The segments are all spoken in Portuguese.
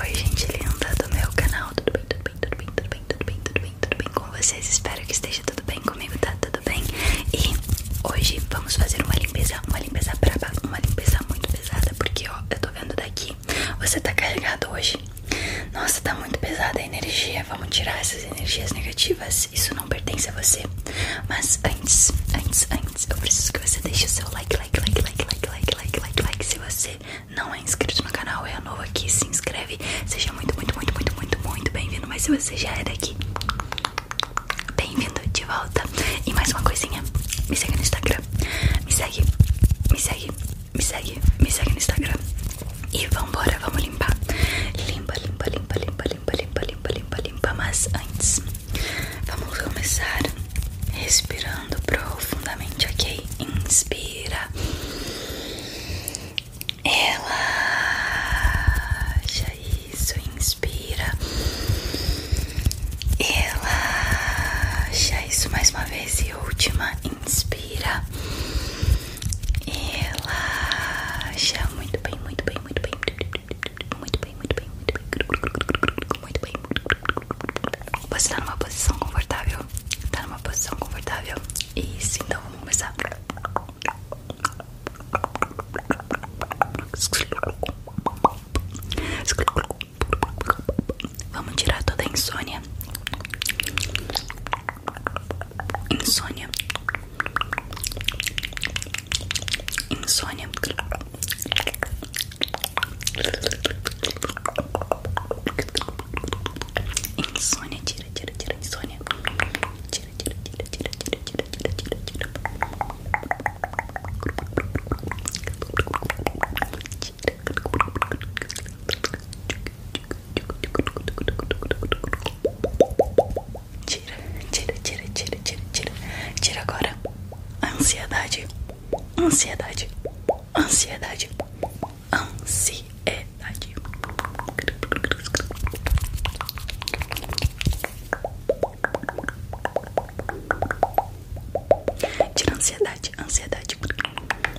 Oi gente linda do meu canal, tudo bem, tudo bem, tudo bem, tudo bem, tudo bem, tudo bem, tudo bem com vocês? Espero que esteja tudo bem comigo, tá tudo bem? E hoje vamos fazer uma limpeza, uma limpeza braba, uma limpeza muito pesada Porque ó, eu tô vendo daqui, você tá carregado hoje Nossa, tá muito pesada a energia, vamos tirar essas energias negativas, isso não pertence a você Mas antes, antes, antes, eu preciso que você deixe o seu like like, like, like, like, like, like, like, like, like. Se você não é inscrito no canal, é novo aqui, se inscreve. Seja muito, muito, muito, muito, muito, muito bem-vindo. Mas se você já é daqui, bem-vindo de volta. E mais uma coisinha, me segue no Instagram. Me segue, me segue, me segue, me segue no Instagram. E vambora, vamos limpar. Limpa, limpa, limpa, limpa, limpa, limpa, limpa, limpa, limpa. Mas antes, vamos começar respirando profundamente, ok? Inspira, relaxa. Isso, inspira, relaxa. Isso mais uma vez e última, inspira, relaxa. Muito bem, muito bem, muito bem, muito bem, muito bem, muito bem, muito bem, muito bem. muito bem, muito bem, muito bem, muito bem, muito bem, muito bem, muito bem, você tá numa posição confortável? Tá numa posição confortável? e sim, então vamos começar. Vamos tirar toda a insônia. Insônia. Insônia. Insônia, tira, tira, tira, insônia. Tira, tira, tira, tira, tira, tira, tira, tira, tira. Tira, tira, tira, tira, tira, tira. Tira agora a ansiedade ansiedade, ansiedade, ansiedade. Tira a ansiedade, ansiedade.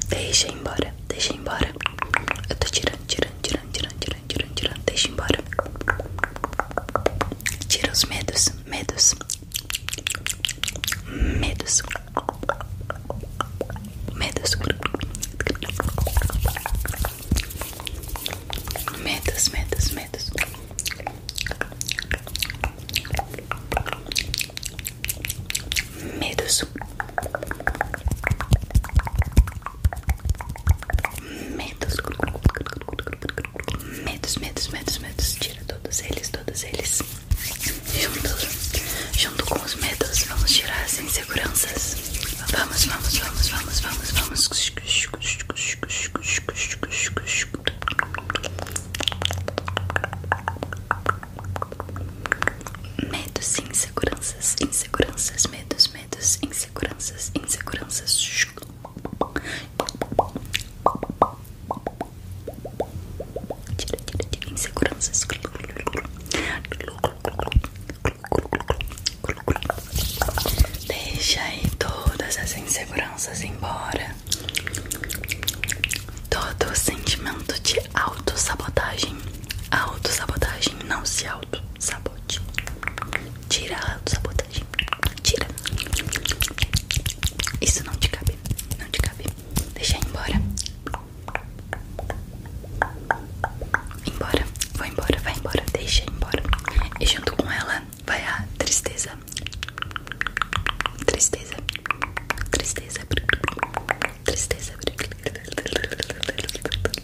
Deixa embora, deixa embora. Eu tô tirando, tirando, tirando, tirando, tirando, tirando, Deixa embora. Tira os medos, medos. Medos. Medos. Medos, medos, medos. Medos. Medos. Medos, medos, medos, medos. Tira todos eles, todos eles. Junto, junto com os medos, vamos tirar as inseguranças. Vamos, vamos, vamos, vamos, vamos, vamos. Medos, inseguranças, inseguranças, medos, medos, inseguranças, inseguranças. Tira, tira, tira. Inseguranças. Deixa aí todas as inseguranças embora. Todo sentimento de autossabotagem. Autossabotagem, não se autossabote. Tira a autossabotagem. Tira. Isso não te cabe, não te cabe. Deixa embora. Embora, vai embora, vai embora, deixa embora. E junto com ela vai a tristeza. Tristeza. Tristeza. Tristeza.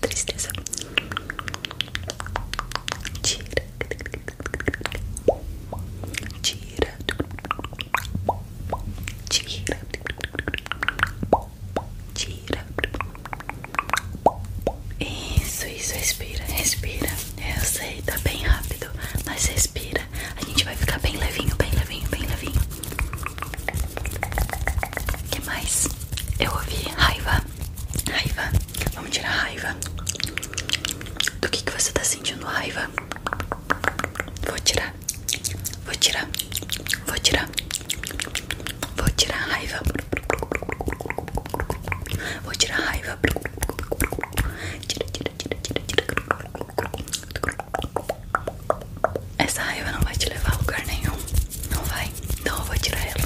Tristeza. Tira. Tira. Tira. Tira. Isso, isso, respira, respira. Eu sei, tá bem rápido, mas respira. A gente vai ficar bem levinho, bem levinho, bem levinho. O que mais? Eu ouvi raiva, raiva, Vamos tirar raiva. Do que, que você tá sentindo raiva? Vou tirar. Vou tirar. Vou tirar. Vou tirar raiva. Vou tirar raiva. Tira, tira, tira, tira, tira. Essa raiva não vai te levar a lugar nenhum. Não vai. não eu vou tirar ela.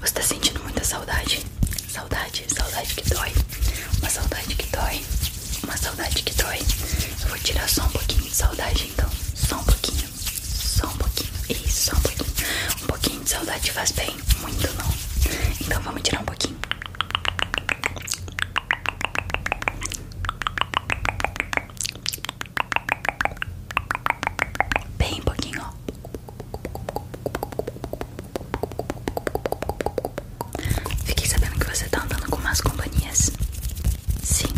Você tá sentindo muita saudade? Saudade, saudade que dói. Uma saudade que dói. Uma saudade que dói. Eu vou tirar só um pouquinho de saudade então. Só um pouquinho. Só um pouquinho. Isso, só um pouquinho. Um pouquinho de saudade faz bem. Muito não. Então vamos tirar um pouquinho. Bem pouquinho, ó. Fiquei sabendo que você tá andando com más companhias. Sim,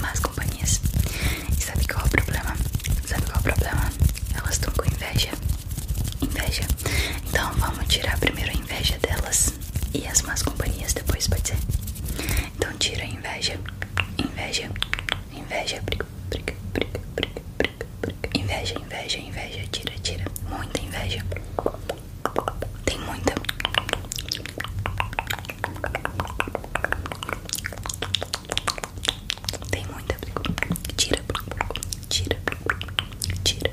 más companhias. E sabe qual é o problema? Sabe qual é o problema? Elas estão com inveja. Inveja. Então vamos tirar primeiro a inveja delas e as más companhias depois, pode ser? Então tira a inveja, inveja, inveja, briga, briga, briga, briga, briga, briga. Inveja, inveja, inveja, tira, tira. Muita inveja. Tem muita. Tem muita. Tira, tira, tira,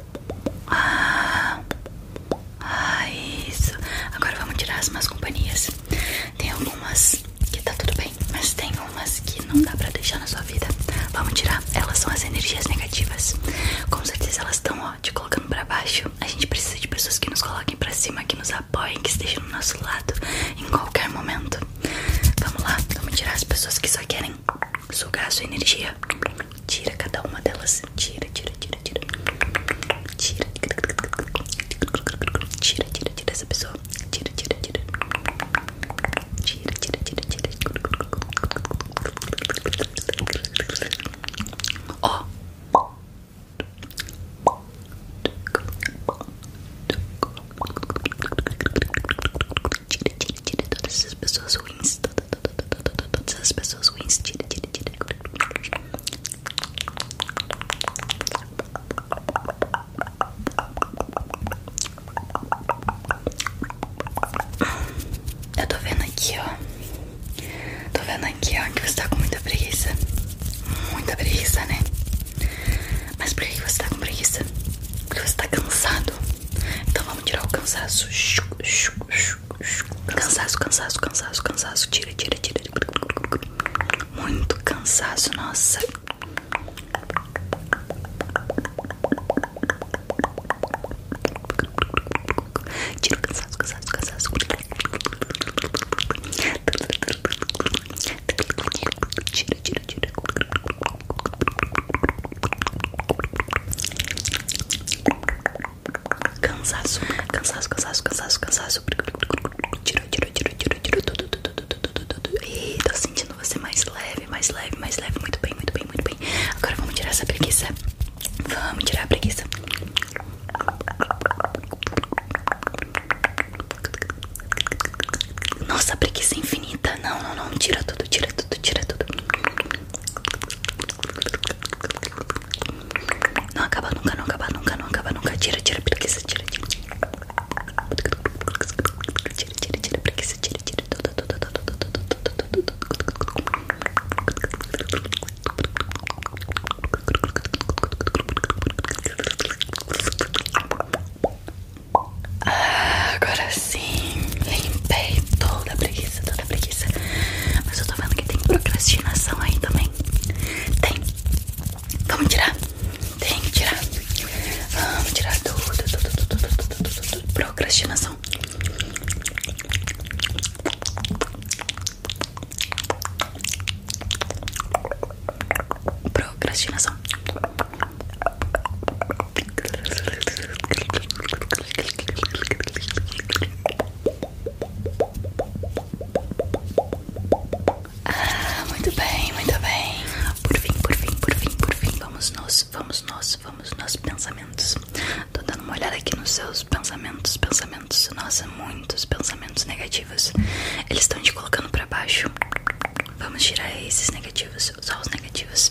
Ah, ah, isso. Agora vamos tirar as más companhias. Tem algumas que tá tudo bem, mas tem umas que não dá pra deixar na sua vida. Vamos tirar. Elas são as energias negativas. Com certeza elas estão, te colocando pra baixo. A gente precisa de pessoas que nos coloquem pra cima, que nos apoiem, que estejam do nosso lado em qualquer momento. Vamos lá, vamos tirar as pessoas que só querem sugar sua energia. Tira cada uma delas. Tira, tira, tira, tira. Tira, tira, tira, tira essa pessoa. Tira, tira, tira. Tira, tira, tira, tira. tira Tira, tira, tira todas essas pessoas ruins. Toda, toda, toda, todas essas pessoas ruins. Tira, tira, tira. Eu tô vendo aqui, ó. Tô vendo aqui, ó, que você tá com muita preguiça. Muita preguiça, né? Mas por que você tá com preguiça? Porque você tá cansado. Então vamos tirar o cansaço. Cansaço, cansaço, cansaço, cansaço. Tira, tira, tira. Muito cansaço, nossa. Tira o cansaço, cansaço, cansaço. Tira, tira, tira. Cansaço, cansaço, cansaço, cansaço, cansaço. Tirou, tirou, tirou, tirou, tirou tudo, tudo, tudo, tudo, tudo. E tô sentindo você mais leve, mais leve, mais leve. Muito bem, muito bem, muito bem. Agora vamos tirar essa preguiça. Vamos tirar a preguiça. Nossa, preguiça infinita. Não, não, não. Tira tudo, tira tudo, tira tudo. Não acaba nunca, não acaba nunca, não acaba nunca. Tira, tira, preguiça, tira, tira. Tira, tira, tira, preguiça, tira, tira. Tudo, tudo, tudo, tudo, tudo, tudo. Ah, agora sim, limpei toda a preguiça, toda a preguiça. Mas eu tô vendo que tem procrastinação aí também. Tem. Vamos tirar. Tem que tirar. Vamos tirar tudo, tudo, tudo, tudo. procrastinação. Procrastinação. Ah, muito bem, muito bem. Por fim, por fim, por fim, por fim, vamos nós, vamos nós, vamos nós pensamentos. Tô dando uma olhada aqui nos seus pensamentos, pensamentos. Nossa, muitos pensamentos negativos. Eles estão te colocando para baixo. Vamos tirar esses negativos, só os negativos.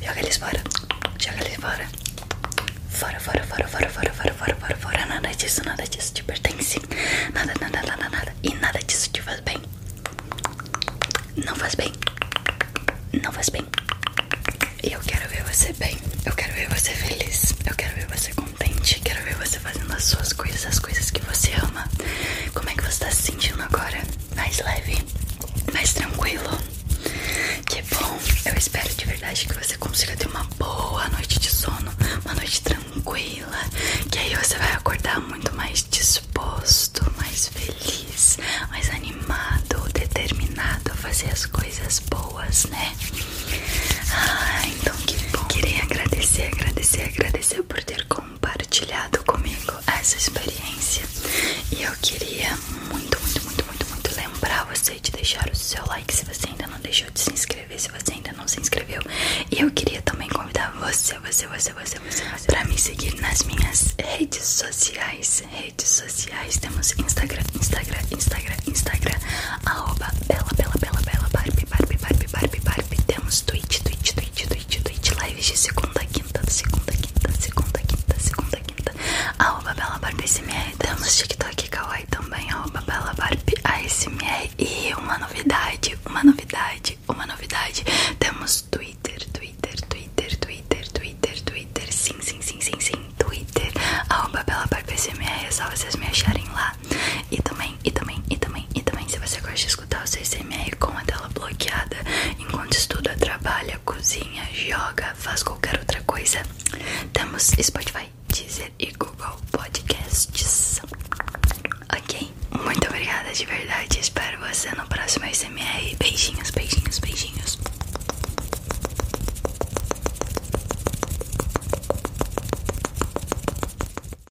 Joga eles fora. Joga eles fora. Fora, fora, fora, fora, fora, fora, fora, fora, fora. Nada disso, nada disso te tipo, pertence. Nada, nada, nada, nada. E nada disso te tipo, faz bem. Não faz bem. Não faz bem. E eu quero ver você bem. Eu quero ver você feliz. Eu quero ver você contente. Quero ver você fazendo as suas coisas, as coisas que você ama. Como é que você tá se sentindo agora? Mais leve, mais tranquilo. Que bom, eu espero de verdade que você consiga ter uma boa noite de sono, uma noite tranquila, que aí você vai acordar muito mais disposto, mais feliz, mais animado, determinado a fazer as coisas boas, né? Ah, então que bom. Queria agradecer, agradecer, agradecer por ter convidado compartilhado comigo essa experiência e eu queria muito, muito, muito, muito, muito lembrar você de deixar o seu like se você ainda não deixou de se inscrever, se você ainda não se inscreveu. E eu queria também convidar você, você, você, você, você, você para me seguir nas minhas redes sociais, redes sociais. Temos Instagram, Instagram, Instagram, Instagram, arroba bela, bela, bela, bela, Barbie, Barbie, Barbie, Barbie, Barbie. Temos Twitch, Twitch, Twitch Twitch, Twitch, Twitch Lives de segunda, quinta, segunda, quinta, segunda, quinta, segunda, quinta Arroba Bela Barbie ASMR Temos TikTok kawai também Arroba Bela Barbie ASMR E uma novidade, uma novidade, uma novidade Temos Twitter, Twitter, Twitter, Twitter, Twitter, Twitter Sim, sim, sim, sim, sim, Twitter Arroba Bela Barbie ASMR É só vocês me acharem lá Tá? E também, e também, e também, e também, se você gosta de escutar o CCMR com a tela bloqueada, enquanto estuda, trabalha, cozinha, joga, faz qualquer outra coisa, temos Spotify, Deezer e Google Podcasts. Ok? Muito obrigada de verdade. Espero você no próximo SMR. Beijinhos, beijinhos, beijinhos.